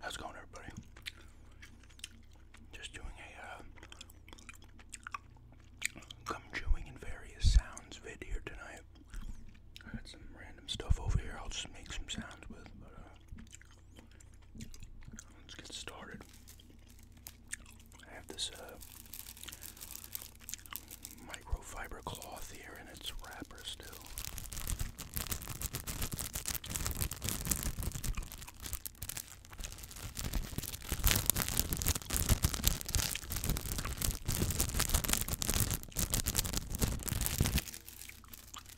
How's it going, everybody? Just doing a uh, gum chewing and various sounds video tonight. I got some random stuff over here. I'll just make some sounds with, uh, Let's get started. I have this uh, microfiber cloth here and its wrapper still.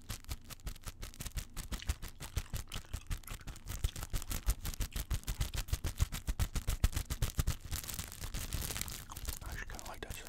I actually kind of like that sound.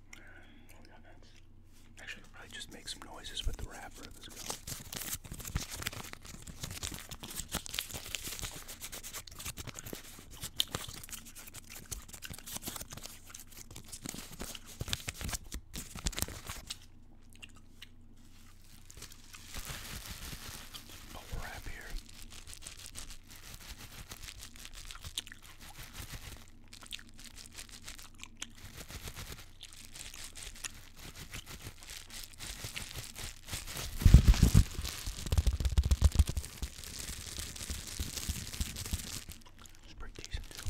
Actually, I'll probably just make some noises with the wrapper of this gum. Bubble wrap here. It's pretty decent too.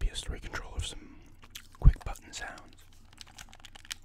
PS3 controller with some quick button sounds.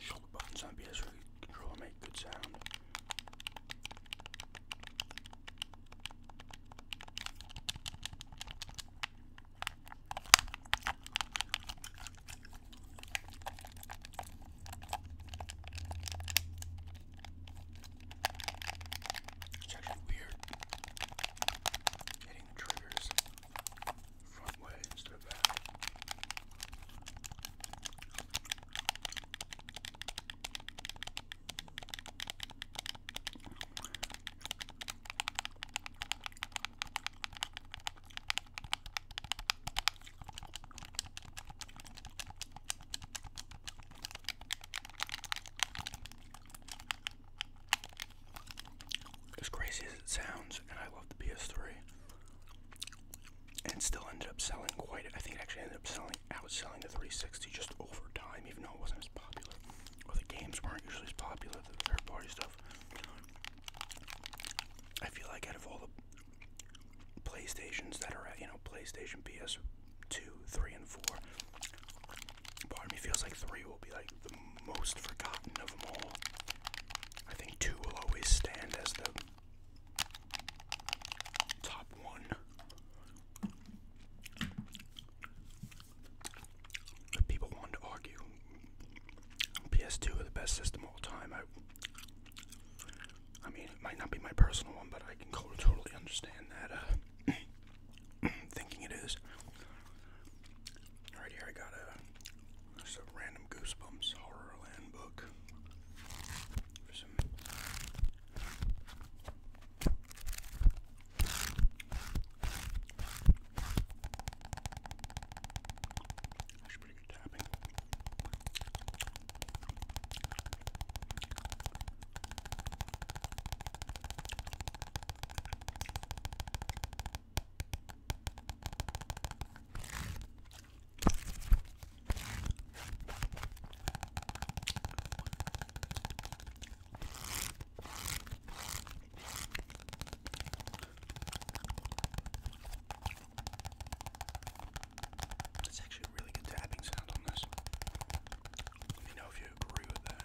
Shoulder buttons on PS3 controller make good sound. It's actually weird hitting the triggers front way instead of back. As crazy as it sounds, and I love the PS3, and still ended up selling quite. I think actually ended up selling selling, outselling the 360 just over time, even though it wasn't as popular, or the games weren't usually as popular, the third party stuff. I feel like out of all the PlayStations that are at, you know, PlayStation, PS2, 3, and 4, part of me feels like 3 will be like the most forgotten of them all. I think 2 will always stand as the Top one. people wanted to argue, PS2 is the best system of all time. I, I mean, it might not be my personal one, but I can totally understand that. Uh, thinking it is. Right here, I got a random Goosebumps Horrorland book that's pretty good tapping. That's actually a really good tapping sound on this. Let me know if you agree with that.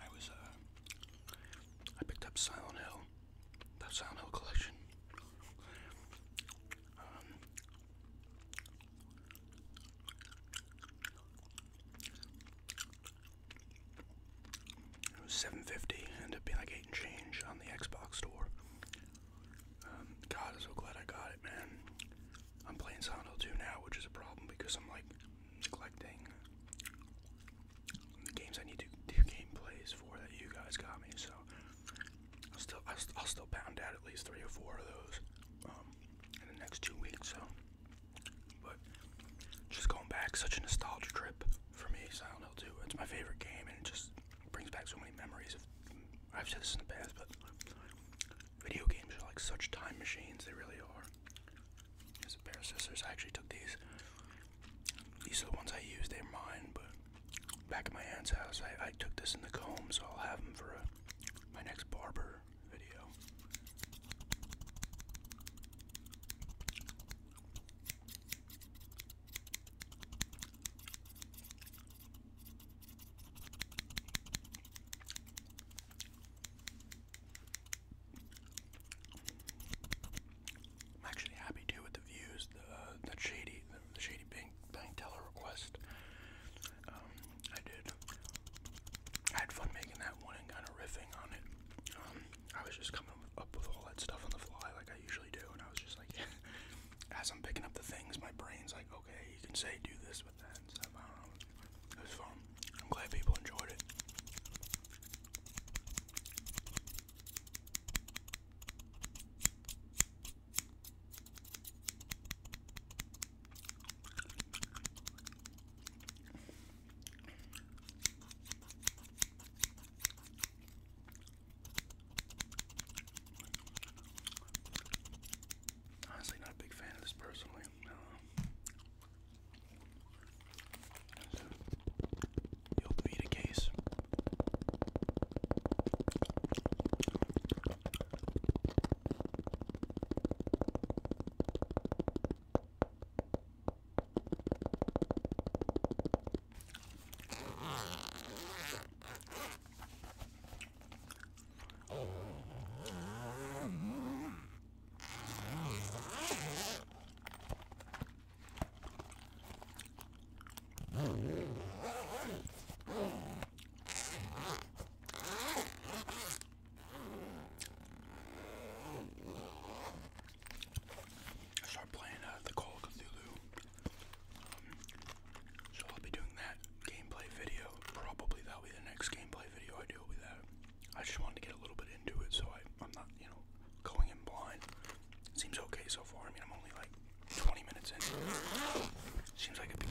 I was, uh, I picked up Silent Hill, the Silent Hill collection. Um, it was seven fifty, ended up being like eight and change on the Xbox store. Um, God, I'm so glad I got it, man. I'm playing Silent Hill 2 now, which is a problem because I'm like neglecting the games I need to do gameplays for that you guys got me. So I'll still I'll, still pound out at least three or four of those um, in the next two weeks. So, but just going back, such a nostalgia trip for me. Silent Hill 2. It's my favorite game, and it just brings back so many memories I've said this in the past, but video games are like such time machines. They really are. There's a pair of scissors. I actually took these. These are the ones I use. They're mine, but back at my aunt's house, I, took this in the comb, so I'll have them for uh, my next barber video. I'm actually happy too with the views, the uh, shady, the, shady bank bank teller request. Um, I did. I had fun making that one and kind of riffing on it. Um, I was just coming up with all that stuff on the fly, like I usually do, and I was just like, as I'm picking up the things, my brain's like, okay, you can say do this, I am glad people enjoyed it. Honestly, not a big fan of this personally. You'll be the case. I start playing uh, the Call of Cthulhu, um, so I'll be doing that gameplay video. Probably that'll be the next gameplay video I do with that. I just wanted to get a little bit into it so I, I'm not, you know, going in blind. Seems okay so far. I mean, I'm only like 20 minutes in. Seems like it'd be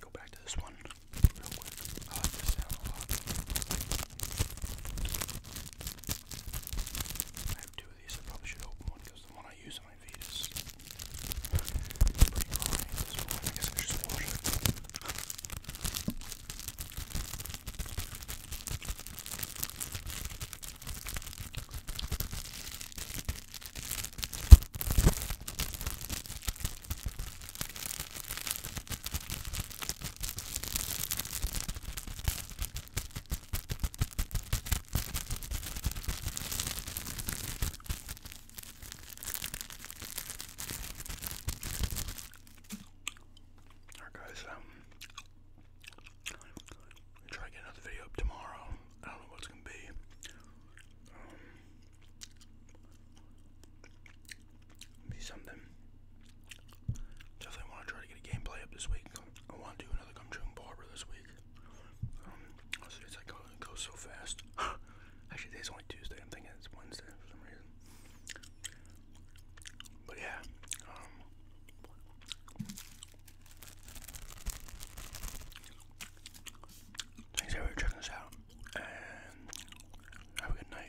Go back to this one real quick. I like this sound a lot. I have two of these. I probably should open one because the one I use in my feed is pretty dry. So I guess I should just wash it. Alright guys, um try to get another video up tomorrow. I don't know what it's gonna be. Um be something. Definitely want to try to get a gameplay up this week. I want to do another gum chewing barber this week. Um, it's like, uh, goes so fast. Actually, today's only Tuesday. I'm thinking it's Wednesday for some reason. But yeah, um, thanks everyone for checking us out, and have a good night.